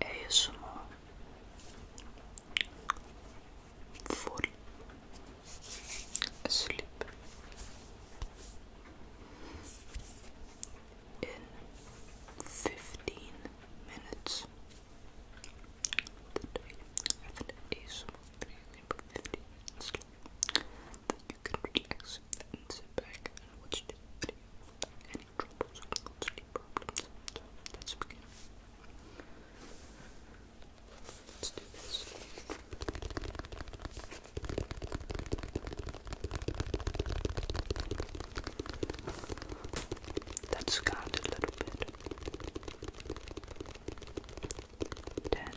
ASMR full asleep in fifteen minutes. The day after ASMR, that you can relax and sit back and watch this video without any troubles or sleep let's begin. Let's do this. Let's count a little bit ten,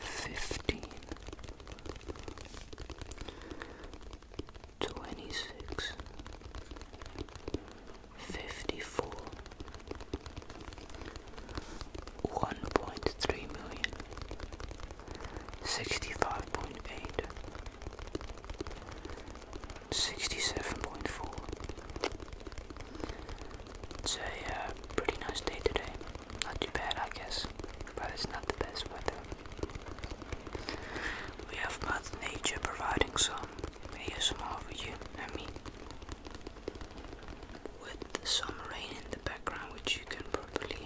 fifteen, twenty six, fifty four, one point three million, sixty five point eight. 67.4. It's a pretty nice day today. Not too bad, I guess, but it's not the best weather. We have Mother Nature providing some ASMR for you and me. With some rain in the background, which you can probably hear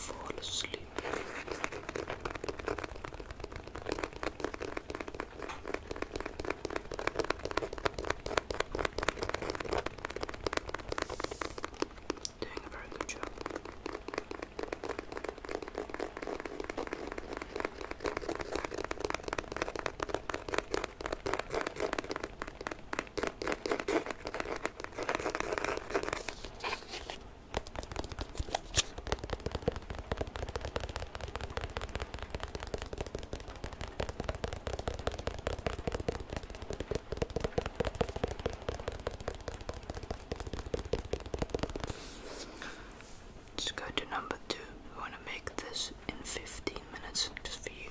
Fall asleep. Doing a very good job. Let's go to number two. We want to make this in 15 minutes just for you.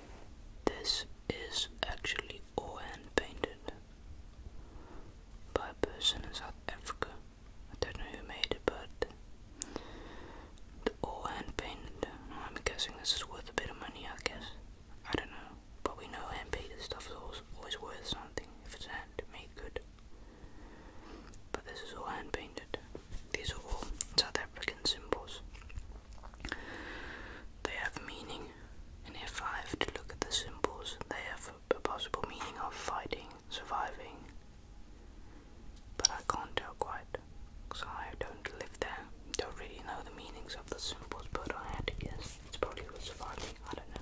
This is actually all hand painted by a person in South Africa. I don't know who made it, but the all hand painted. I'm guessing this is worth a bit of money, I guess. I don't know, but we know hand painted stuff is always, always worth something if it's hand made good. But this is all hand painted. These are all South African symbols. They have meaning if I have to look at the symbols, they have a possible meaning of fighting, surviving, but I can't tell quite, because I don't live there, don't really know the meanings of the symbols, but I had to guess it's probably with surviving, I don't know.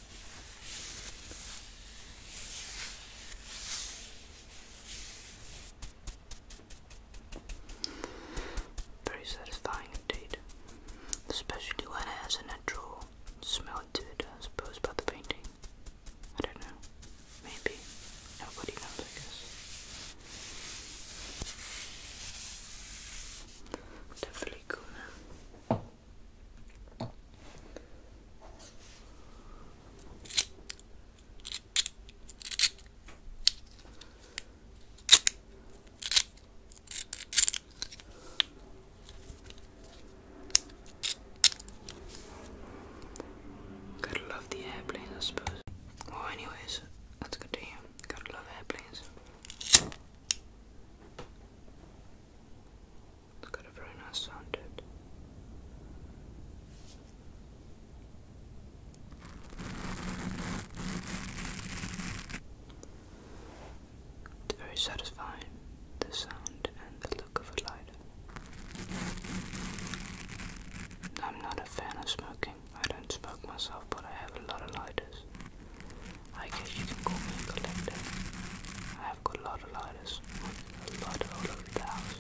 Very satisfying indeed, especially when it has a natural smell to it, I suppose, by the painting. I don't know, maybe. Nobody knows, I guess. Definitely cool now. Gotta love the airplanes, I suppose. Well, anyways, that's a good Gotta love airplanes. It's got a very nice sound to it. It's very satisfying, the sound and the look of a lighter. I'm not a fan of smoking. I don't smoke myself, but I have a lot of lighters. I guess you can call me a collector. I have got a lot of lighters, a lot all over the house.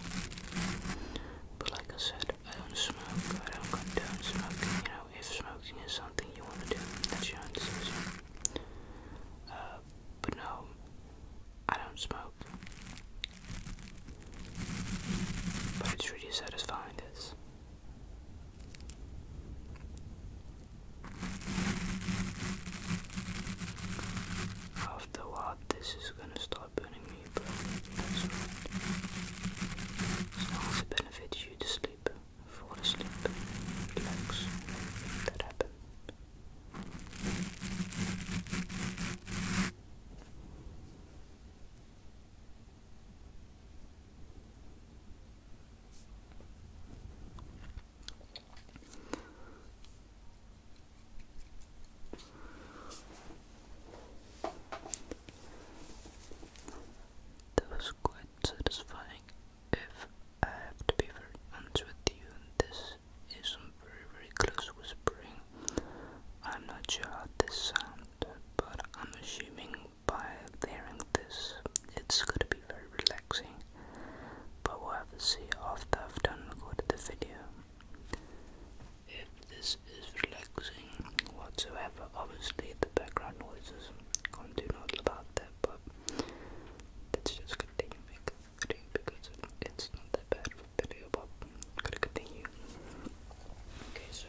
But like I said, I don't smoke, I don't condone smoking, you know, if smoking is something you want to do, that's your own decision. Uh, but no, I don't smoke. But it's really satisfying this. After a this is gonna start burning me, but that's alright. As long you to sleep, fall asleep, relax, make that was quite satisfying. If I have to be very honest with you, this is some very very close whispering. I'm not sure how this sounds, but I'm assuming by hearing this. It's gonna be very relaxing, but we'll have to see after I've done recorded the video. If this is relaxing whatsoever, obviously the background noises can't do nothing about that, but that's just continue making the because it's not that bad of a video, but I'm gonna continue. Okay, sir.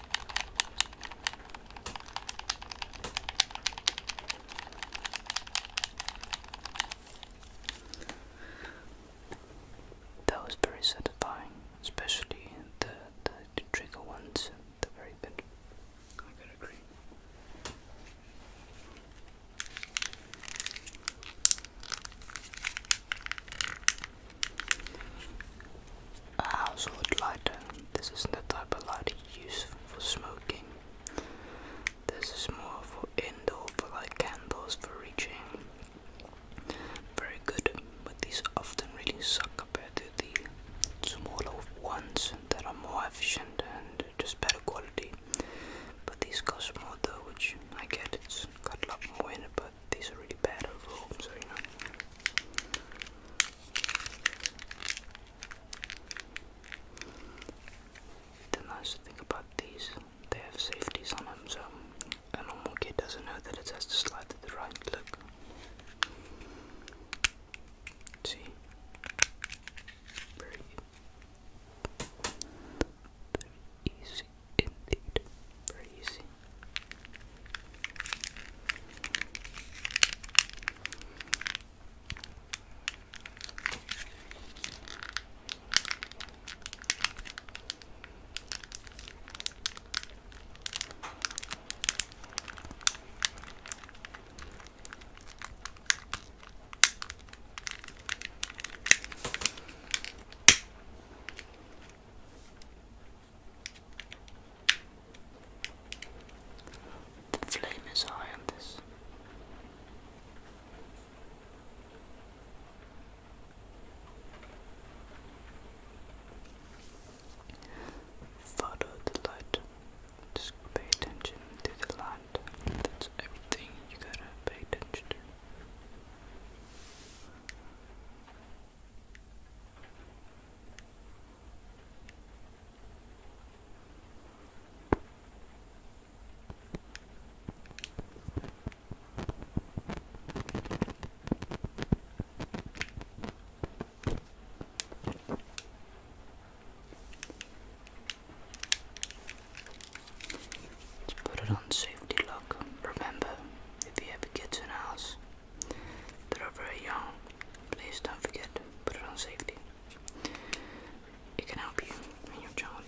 That was very satisfying, especially the, the, trigger ones, the very bit. I could agree. A household lighter. This isn't the type of lighter used for smoking. This is more for indoor, for like candles, for reaching. Very good, but these often really suck compared to the smaller ones that are more efficient and just better quality. But these cost more though, which I get. It's got a lot more in it, but these are really bad overall, so you know. The nice thing about these, they have safeties on them, so a normal kid doesn't know that it has to slide to the right. Look. See? very easy indeed. Very easy. The flame is high on this. Follow the light. Just pay attention to the light. That's everything you gotta pay attention to. Let's put it on safety lock. Remember, if you ever get to an house that are very young, please don't forget to put it on safety. It can help you in your child.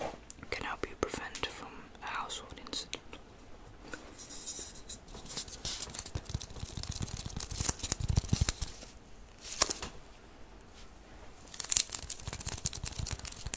It can help you prevent from a household incident.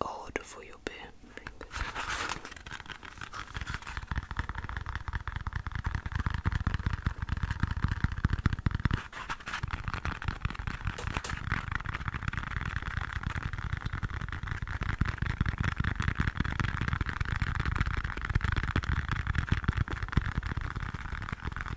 Odd your jobbig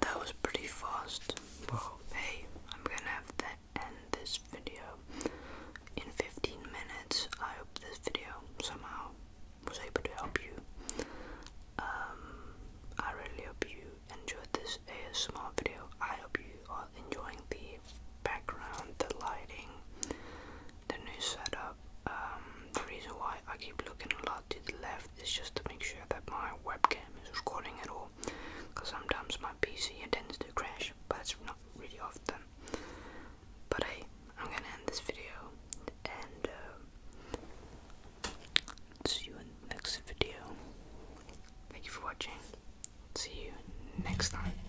that was pretty fast. Well, hey, I'm gonna have to end this video in 15 minutes. I hope this video somehow was able to help you. Um, I really hope you enjoyed this ASMR video. I hope you are enjoying the background, the lighting, the new setup. Um, the reason why I keep looking a lot to the left is just to make sure that my webcam is recording at all, because sometimes my PC tends to crash, but it's not really often. But hey, I'm gonna end this video, and uh, see you in the next video. Thank you for watching. See you next time.